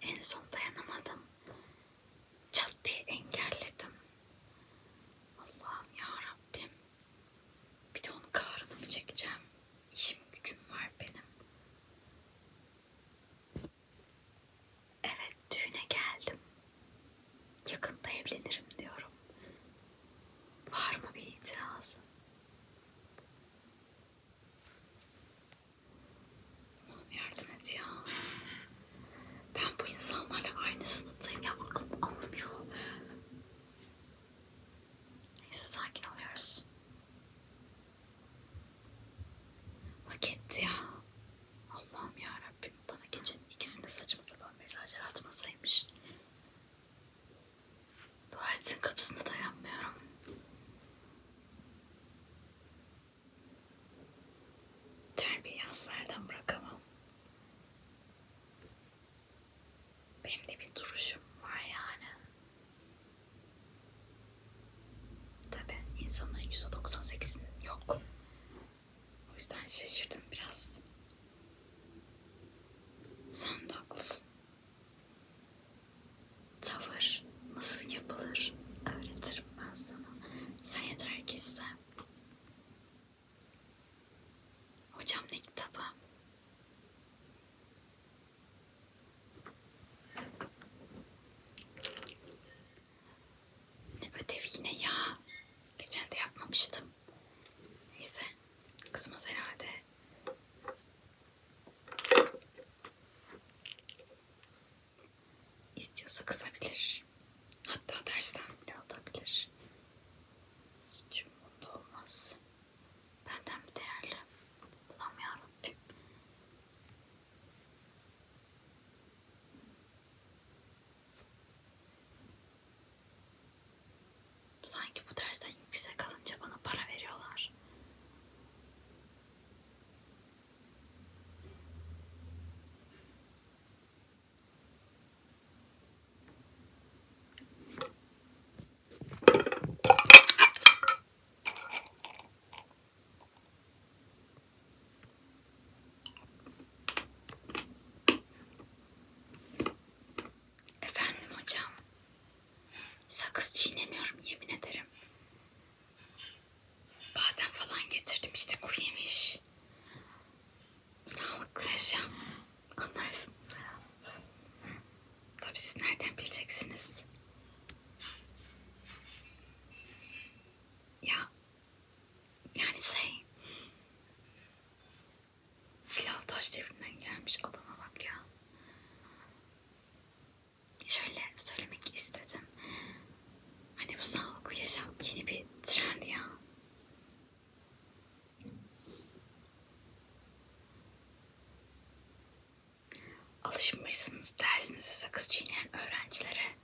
En son dayanamadım. Çat diye engelledim. Allah'ım ya Rabbim. Bir de onun karını mı çekeceğim? İşim gücüm var benim. Evet düğüne geldim. Yakında evlenirim diyorum. Var mı bir itirazın? Allah'ım yardım et ya. Ben bu insanlarla aynı sınıftayım ya aklım almıyor. Neyse sakin oluyoruz. Hak etti ya. Allah'ım ya Rabbim bana gecenin ikisinde saçma sapan mesajlar atmasaymış. Dua etsin kapısında da yapmıyorum. Terbiye aslardan bırakamam. Benim de bir duruşum var yani. Tabi insanların %98'inin yok. O yüzden şaşırdım biraz. Sen de haklısın tavır nasıl yapılır öğretirim ben sana. Sen yeter ki iste. Hocam ne kitabı? Ne ödev yine ya. Geçen de yapmamıştım. Neyse. Kızmaz herhalde. İstiyorsa kısabilir. Hatta dersten bile alabilir. Hiç umurumda olmaz. Benden bir değerli. Ulan yarabbim. Sanki bu dersten yüksek alınca bana para veriyorlar. Efendim hocam. Sakız çiğnemiyorum yemin ederim. Badem falan getirdim işte kuru yemiş. Sağlıklı yaşam. Anlarsınız ya. Tabii siz nereden bileceksiniz? Ya yani şey Silah taş devrinden gelmiş adama bak ya. Şöyle söylemek istedim. Hani bu sağlıklı yaşam yeni bir trend ya. Alışmışsınız dersinize sakız çiğneyen öğrencilere.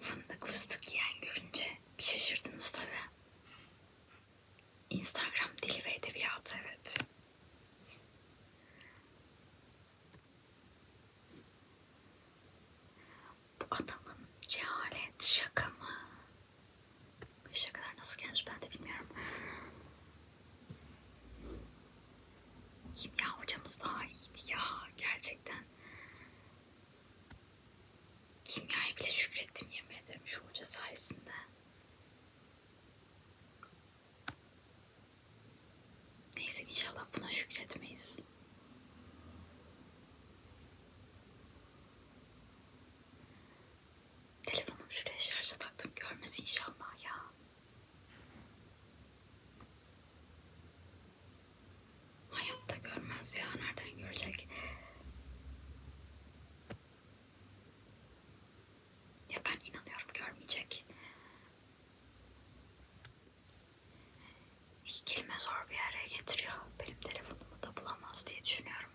Fındık fıstık yiyen görünce bir şaşırdınız tabi. Instagram dili ve edebiyatı evet. Bu adamın cehalet şaka mı? Bu şakalar nasıl gelmiş ben de bilmiyorum. Kimya hocamız daha iyiydi ya gerçekten. Kimyayı bile şükrettim yemin ederim şu hoca sayesinde. Neyse inşallah buna şükretmeyiz. Telefonum şuraya şarja taktım görmez inşallah ya. Hayatta görmez ya. Nereden görecek? Ya ben inanıyorum görmeyecek. İki kelime zor bir araya getiriyor. Benim telefonumu da bulamaz diye düşünüyorum.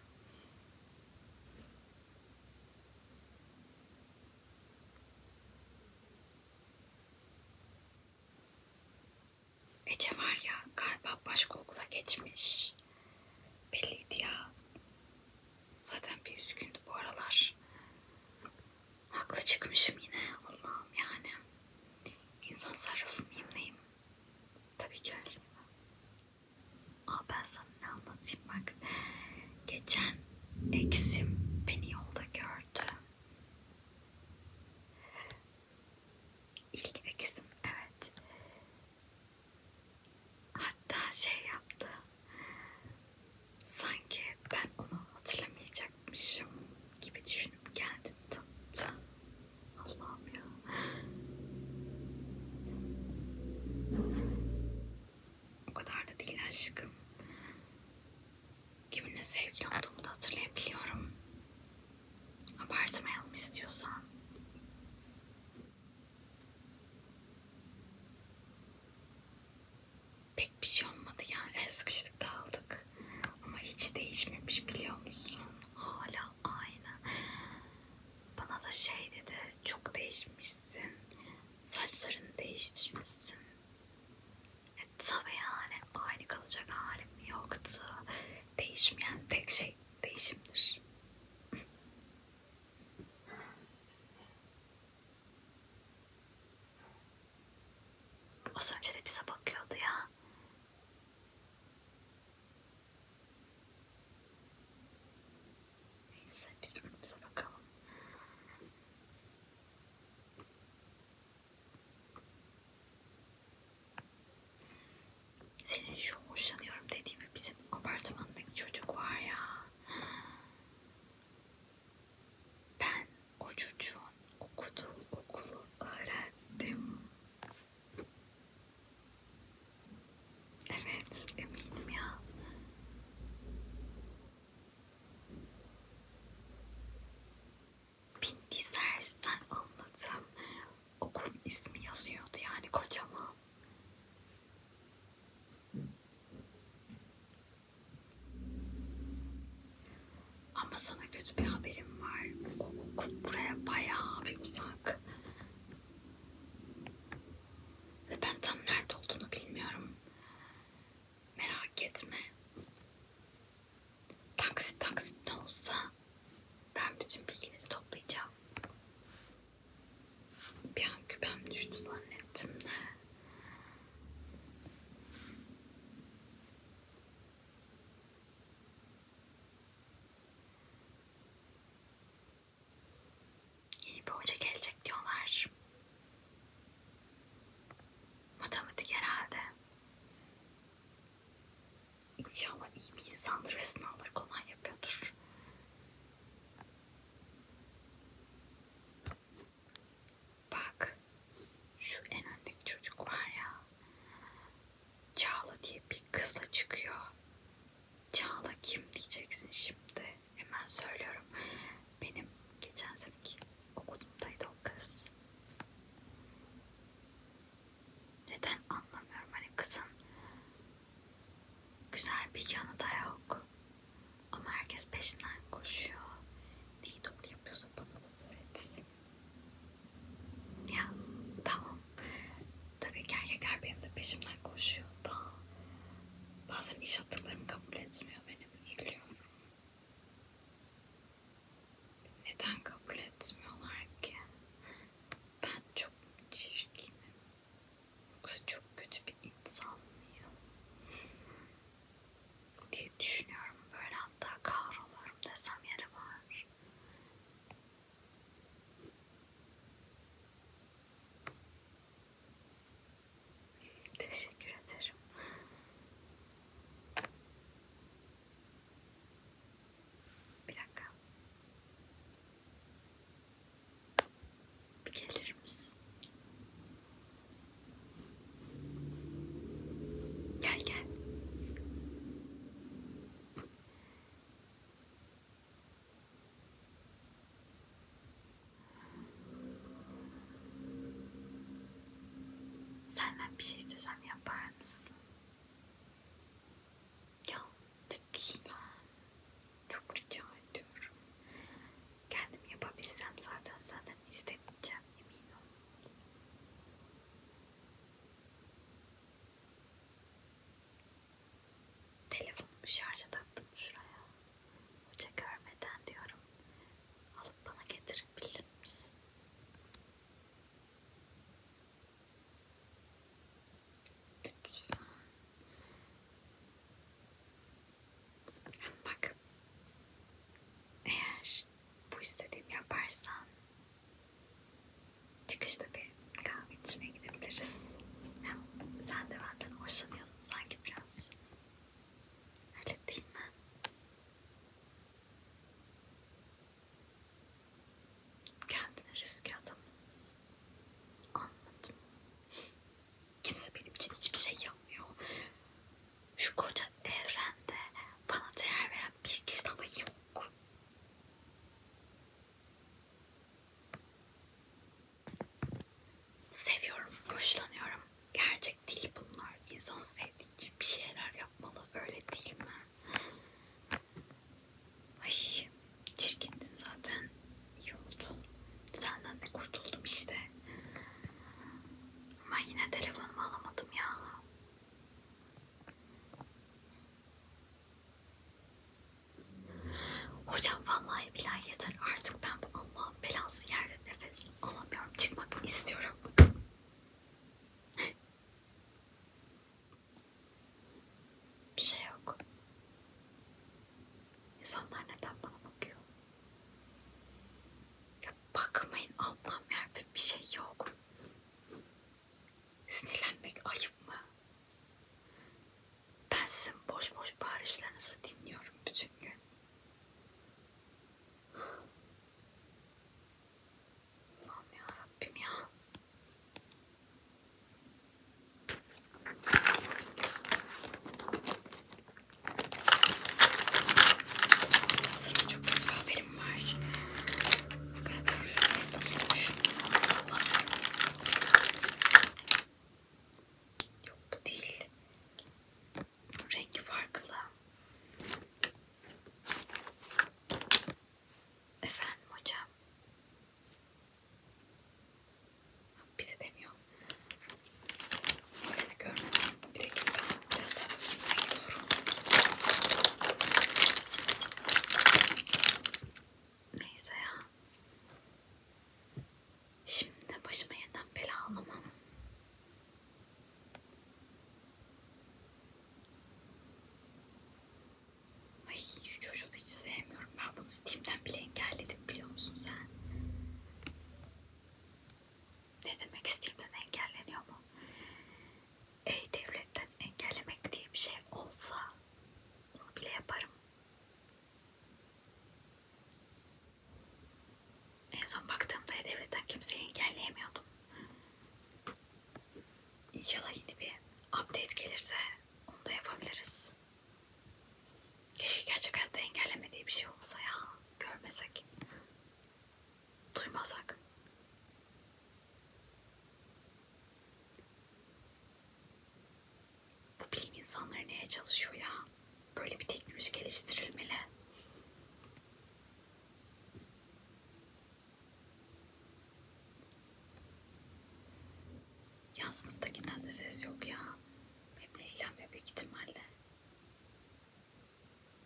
Ece var ya galiba başka okula geçmiş. Belliydi ya. Zaten bir üzgündü bu aralar. Haklı çıkmışım yine Allah'ım yani. İnsan sarrafı mıyım neyim? Tabii ki öyle. Aa ben sana ne anlatayım bak. Geçen eksim beni yolda gördü. İlk ikizim evet. Hatta şey yaptı. Sanki ben onu hatırlamayacakmışım gibi düşünüp kendini tanıttı. Allah'ım ya. O kadar da değil aşkım. Kiminle sevgili olduğumu da hatırlayabiliyorum. Abartmayalım istiyorsan. Pek bir şey olmadı ya. El sıkıştık dağıldık. Ama hiç değişmemiş biliyor musun? Hala aynı. Bana da şey dedi. Çok değişmişsin. Saçlarını değiştirmişsin. E, tabii yani aynı kalacak halim yoktu. Değişmeyen tek şey değişimdir. Az önce de bize bakıyordu ya. Neyse biz önümüze bakalım. Senin şu hoşlanıyorum dediğimi bizim apartmandaki çocuk var ya. Ben o çocuğun okuduğu okulu öğrendim. Evet eminim ya. Bindi sersen anlatım. Okulun ismi yazıyordu yani kocaman. Ama sana kötü bir haberim var. O okul buraya bayağı bir uzak. Ve ben tam nerede olduğunu bilmiyorum. Merak etme. Taksit taksit ne olsa ben bütün bilgileri toplayacağım. Bir an küpem düştü zannettim de. Yeni bir hoca gelecek diyorlar. Matematik herhalde. İnşallah iyi bir insandır ve sınavları kolay yapıyordur. Bak şu en öndeki çocuk var ya. Çağla diye bir kızla çıkıyor. Çağla kim diyeceksin şimdi. Hemen söylüyorum. Benim geçen seneki okulumdaydı o kız. Neden anlamıyorum hani kızın güzel bir yanı da yok. Ama herkes peşinden koşuyor. Neyi doğru yapıyorsa bana da öğretsin. Ya tamam. Tabii ki erkekler benim de peşimden koşuyor da bazen iş attıklarımı kabul etmiyor. Benim üzülüyorum. Neden kabul etmiyorlar ki? Ben çok çirkinim. Yoksa çok kötü bir insan mıyım? diye düşünüyorum. Böyle hatta kahroluyorum desem yeri var. Teşekkür ederim. Bir dakika. Bir gelir misin? Gel gel. Senden bir şey istesem yapar mısın? Ya lütfen. Çok rica ediyorum. Kendim yapabilsem zaten senden istemeyeceğim emin ol. Telefonumu şarja taktım şuraya. Hoca görmeden diyorum. Alıp bana getir kaldırabilir misin? Lütfen. Hem bak. Eğer bu istediğimi yaparsan çıkışta bir kahve içmeye gidebiliriz. Hem sen de benden hoşlanıyordun sanki biraz. Öyle değil mi? Kendine riske atamaz. Anladım. Kimse benim için hiçbir şey yapmıyor. Şu koca evrende bana değer veren bir kişi ama yok. Seviyorum, hoşlanıyorum gerçek değil bunlar. İnsan sevdiği için bir şeyler yapmalı. Öyle değil mi? Ay çirkindin zaten. İyi oldu. Senden de kurtuldum işte. Ama yine telefonumu alamadım ya. Hocam vallahi billahi yeter artık ben bu Allah'ın belası yer yeterli nefes alamıyorum. Çıkmak istiyorum. Bir şey yok. İnsanlar neden bana bakıyor? Ya bakmayın Allah'ım yarabbim bir şey yok. Sinirlenmek ayıp mı? Ben sizin boş boş bağırışlarınızı dinliyorum bütün gün. Allah'ım ya Rabbim ya. Sıra çok kötü haberim var. Galiba şu evden tutmuşum. Nasıl Yok bu değil rengi farklı. Efendim hocam. Bize demiyor. Evet görmedim. Bir dakika. Biraz daha bakayım. Belki doğru Neyse ya. Şimdi de başıma yeten bela alamam. Ay şu çocuğu da hiç sevmiyorum. Ben bunu Steam'den bile engelledim biliyor musun sen? Ne demek Steam'den engelleniyor mu? E-Devlet'ten engellemek diye bir şey olsa onu bile yaparım. En son baktığımda devletten kimseyi engelleyemiyordum. İnşallah yeni bir update gelirse onu da yapabiliriz. Keşke gerçek hayatta engellemediği bir şey olsa ya. Görmesek. Duymasak. Bu bilim insanları neye çalışıyor ya? Böyle bir teknoloji geliştirilmeli. Ya sınıftakinden de ses yok ya. Benimle ilgilenmiyor büyük ihtimalle.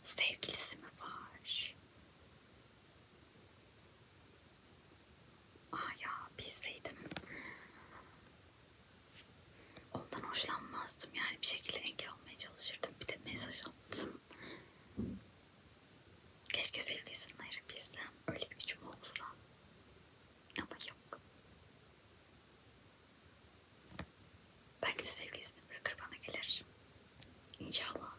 Sevgilisi mi var? Aa ya bilseydim. Ondan hoşlanmazdım. Yani bir şekilde engel olmaya çalışırdım. Bir de mesaj attım. Keşke sevgilisini ayırabilsem. Öyle bir gücüm olsa. Ama yok. Belki de sevgilisini bırakır bana gelir. İnşallah.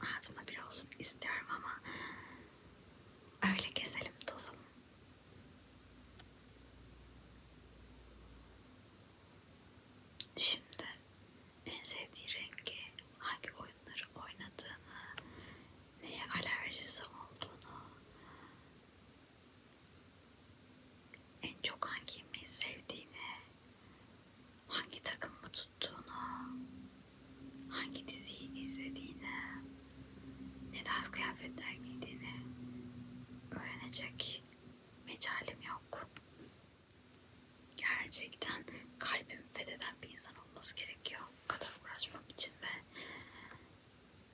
Hayatımda bir olsun istiyorum ama öyle keselim tozalım. Şimdi en sevdiği rengi, hangi oyunları oynadığını, neye alerjisi olduğunu, en çok hangi yemeği sevdiğini hangi takımı tuttuğunu, hangi diziyi izlediğini, ne tarz kıyafetler giydiğini öğrenecek mecalim yok. Gerçekten kalbimi fetheden bir insan olması gerekiyor. Bu kadar uğraşmam için ve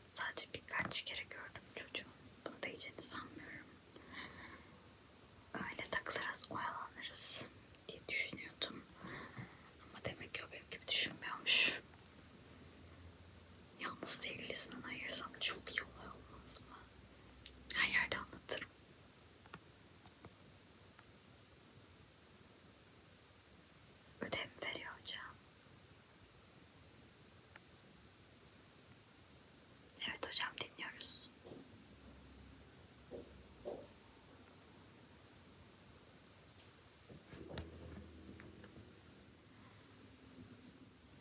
sadece birkaç kere gördüm çocuğu. Bunu da hani sanmıyorum. Öyle takılırız, oyalanırız diye düşünüyordum. Ama demek ki o benim gibi düşünmüyormuş. Yalnız sevgilisinden ayırsam çok iyi olay olmaz mı? Her yerde anlatırım. Ödev veriyor hocam. Evet hocam dinliyoruz.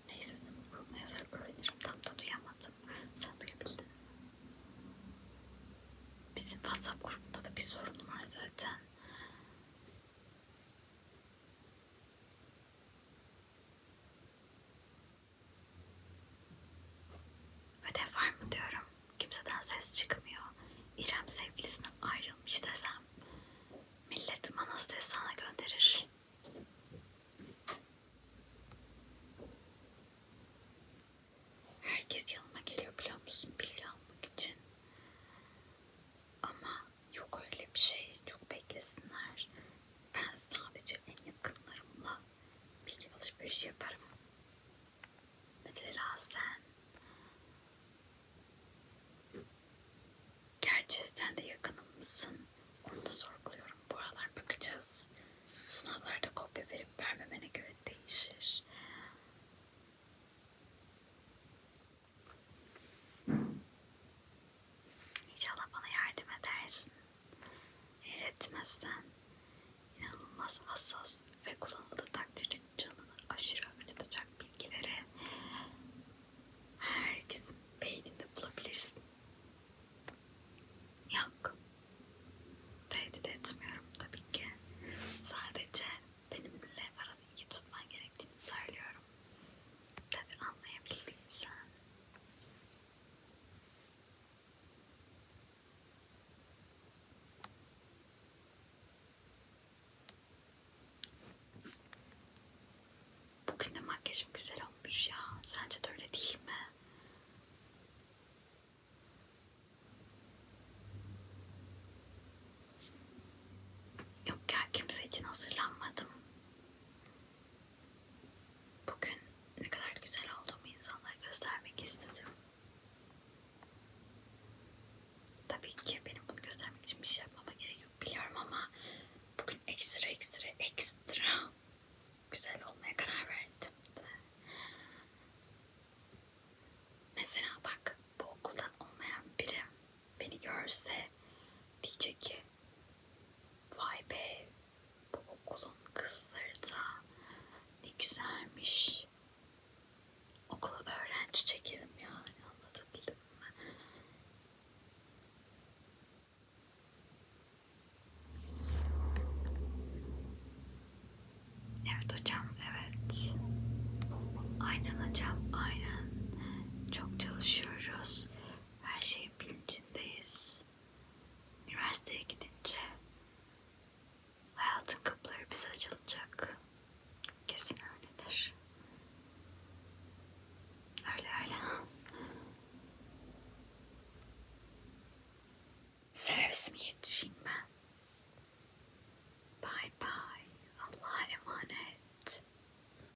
Neyse sınıf grubuna yazar öğrenirim. Tam da duyamadım. Sen duyabildin mi? Bizim WhatsApp grubunda da bir sorun var zaten. Ödev var mı diyorum. Kimseden ses çıkmıyor. İrem sevgilisinden ayrılmış desem millet manastırı sana gönderir. Herkes yanıma geliyor biliyor musun bilgi almak için. Ama yok öyle bir şey. Çok beklesinler. Ben sadece en yakınlarımla bilgi alışverişi yaparım. Mesela sen. Gerçi sen de yakınım mısın? Onu da sorguluyorum. Bu aralar bakacağız. Sınavlarda kopya verip vermemene göre değişir. İnşallah bana yardım edersin. Eğer etmezsen inanılmaz hassas ve kullanıldığı takdirde canını aşırı acıtacak bilgileri herkesin beyninde bulabilirsin. Yok. Tehdit etmiyorum tabii ki. Sadece benimle aranı iyi tutman gerektiğini söylüyorum. Tabii anlayabildiysen. Bugün de makyajım güzel olmuş ya. Sence de öyle değil mi? Yok ya kimse için hazırlanmadım. Bugün ne kadar güzel olduğumu insanlara göstermek istedim. Tabii ki benim bunu göstermek için bir şey yapmama gerek yok biliyorum ama bugün ekstra ekstra ekstra güzel olmaya karar verdim. Mesela bak bu okuldan olmayan biri beni görse diyecek ki Vay be bu okulun kızları da ne güzelmiş. Okula öğrenci çekelim yani anlatabildim mi? Evet hocam evet. Aynen hocam aynen. Çok çalışıyoruz. Her şey şeyin bilincindeyiz. Üniversiteye gidince hayatın kapıları bize açılacak. Kesin öyledir. Öyle öyle. Servisime yetişeyim ben. Bye bye. Allah'a emanet.